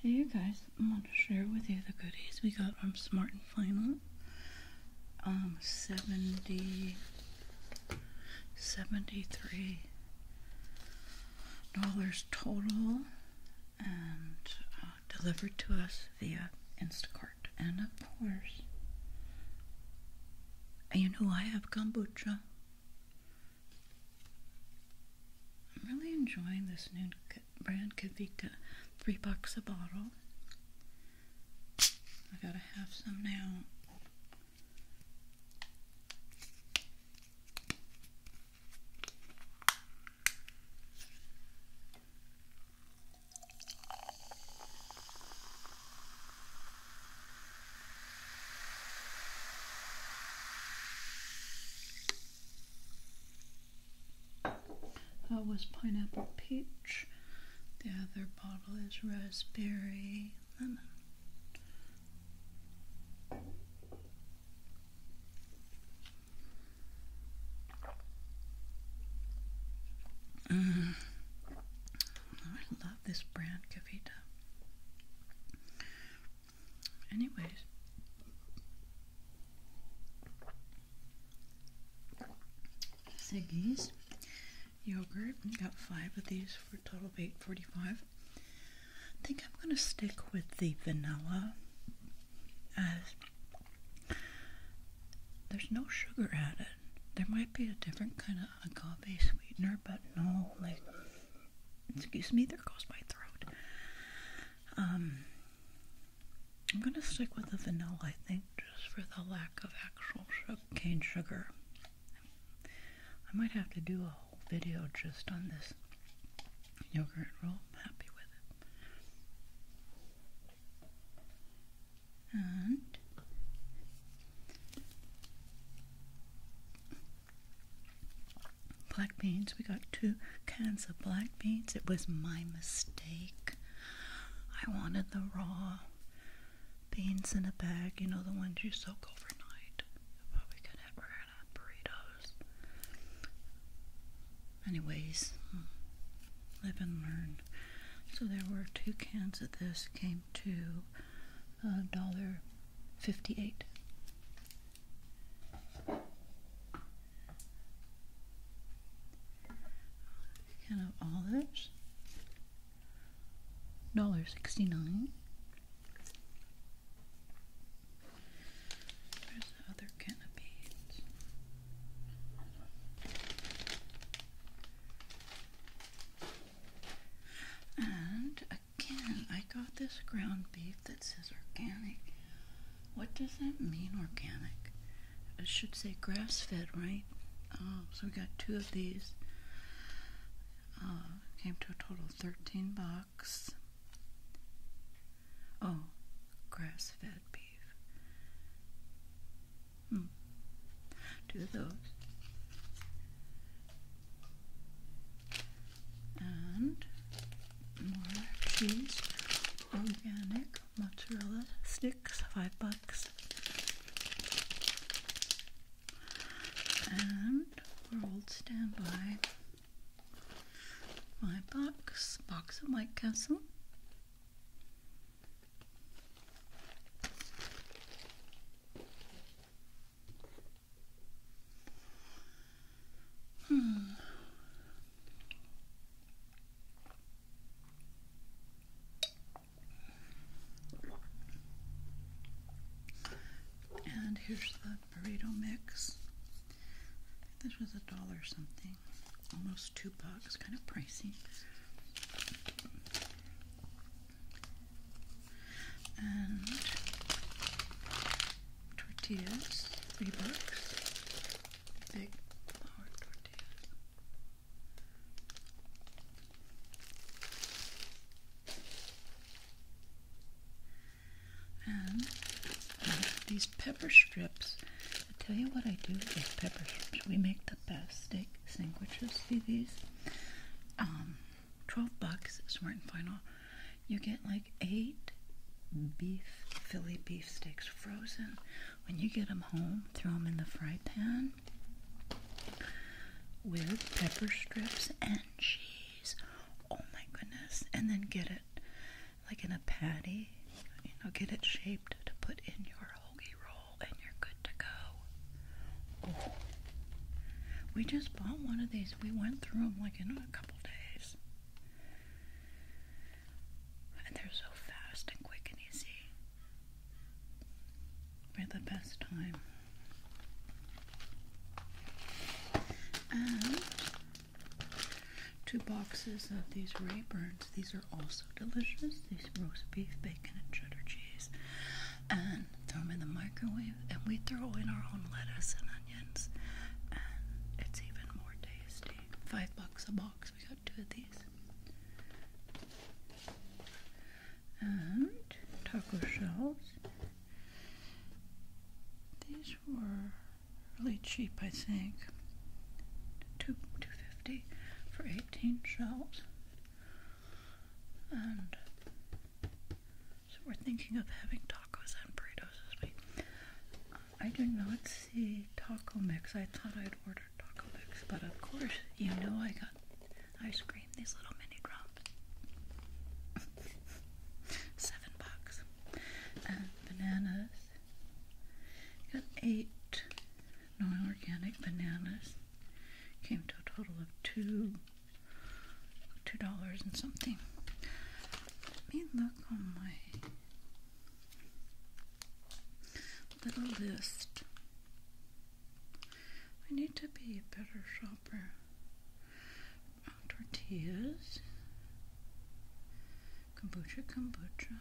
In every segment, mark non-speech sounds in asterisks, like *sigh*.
Hey you guys, i want to share with you the goodies we got from Smart and Final. Um, 70, 73 dollars total and uh, delivered to us via Instacart. And of course, you know I have kombucha. I'm really enjoying this new brand Kavita, three bucks a bottle. I gotta have some now. That oh, was pineapple peach. The other bottle is raspberry lemon. Mm. I this brand, Cavita. Anyways, Siggy's yogurt. got five of these for a total of eight forty-five. I think I'm gonna stick with the vanilla, as there's no sugar added. There might be a different kind of a coffee sweetener, but no, like, excuse me, there goes my throat. Um, I'm gonna stick with the vanilla, I think, just for the lack of actual sugar, cane sugar. I might have to do a whole video just on this yogurt roll. I'm happy with it and black beans. We got two cans of black beans. It was my mistake. I wanted the raw beans in a bag, you know, the ones you soak overnight. But we could have, have burritos. Anyways, hmm live and learn. So there were two cans of this, came to a uh, dollar fifty-eight. Can of olives, dollar sixty-nine. There's the other can of beans. And again, I got this ground beef that says organic. What does that mean, organic? I should say grass fed, right? Oh, so we got two of these. Uh, came to a total of 13 bucks. Oh, grass fed beef. Hmm. Do those. And more cheese. Organic mozzarella sticks, five bucks. And we're old standby. My box, box of White Castle. Hmm. And here's the burrito mix. This was a dollar something. Almost two bucks, kind of pricey. And tortillas, three bucks. Big flour tortillas. And uh, these pepper strips, I tell you what I do with pepper strips. We make the best steak sandwiches. See these? Um, 12 bucks, smart and final. You get like eight beef, Philly beef steaks frozen. When you get them home, throw them in the fry pan with pepper strips and cheese. Oh my goodness. And then get it like in a patty, you know, get it shaped to put in your hoagie roll and you're good to go. We just bought one of these. We went through them like in a couple days. And they're so fast and quick and easy. We had the best time. And Two boxes of these Rayburns. These are also delicious. These roast beef, bacon, and cheddar cheese. And throw them in the microwave. And we throw in our own lettuce and onions. And it's even more tasty. Five bucks a box. We got two of these. And taco shells. These were really cheap, I think. Two two fifty for eighteen shells. And so we're thinking of having tacos and burritos this week. I do not see taco mix. I thought I'd order taco mix, but of course you know I got ice cream these little mini drops. *laughs* Seven bucks. And uh, bananas. Got eight non organic bananas. Came to a total of two two dollars and something. Let me look on my little list I need to be a better shopper. Uh, tortillas, kombucha, kombucha,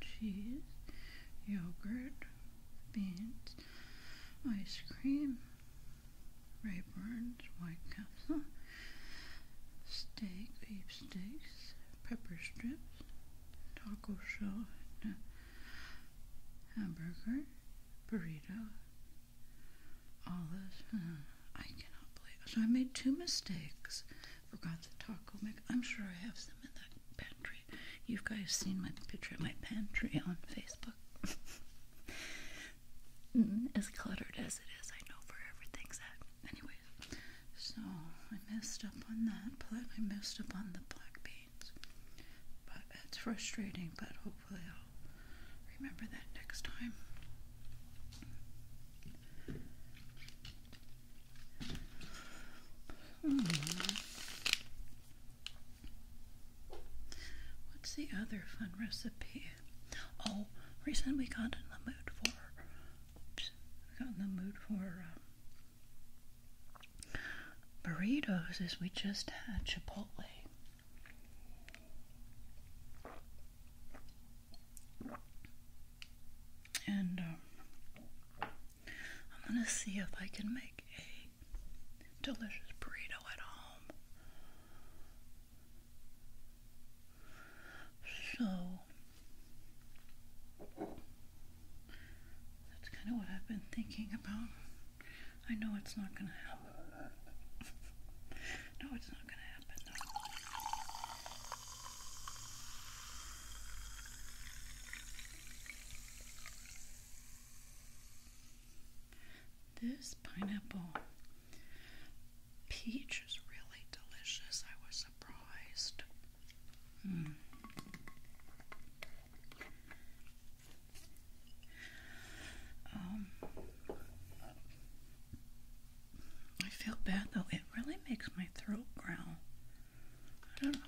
cheese, yogurt, beans, ice cream, Rayburns, White Castle, steak, beef steaks, pepper strips, taco shell, hamburger, burrito, olive. Uh, I cannot believe. So I made two mistakes. Forgot the taco mix. I'm sure I have some in that pantry. You guys seen my picture of my pantry on Facebook. *laughs* as cluttered as it is, I know where everything's at. Anyways, so I messed up on that, but I messed up on the black bean things. But it's frustrating, but hopefully I'll remember that next time. Hmm. What's the other fun recipe? Oh, recently we got in the mood for. Oops, got in the mood for um, burritos as we just had Chipotle. And um, I'm going to see if I can make a delicious burrito at home. So that's kind of what I've been thinking about. I know it's not going to happen. *laughs* no, it's not going to happen, This pineapple peach is really delicious. I was surprised. Hmm. Um, I feel bad though. It really makes my throat growl. I don't know.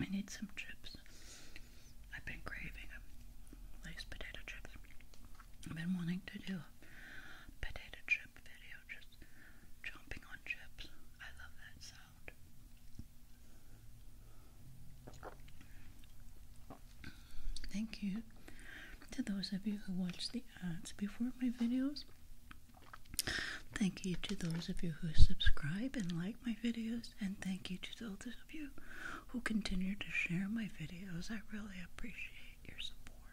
I need some chips. I've been craving a potato chips. I've been wanting to do a potato chip video, just chomping on chips. I love that sound. Thank you to those of you who watch the ads before my videos. Thank you to those of you who subscribe and like my videos, and thank you to those of you who continue to share my videos. I really appreciate your support.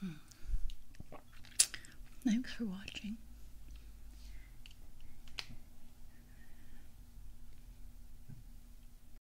Hmm. Thanks for watching.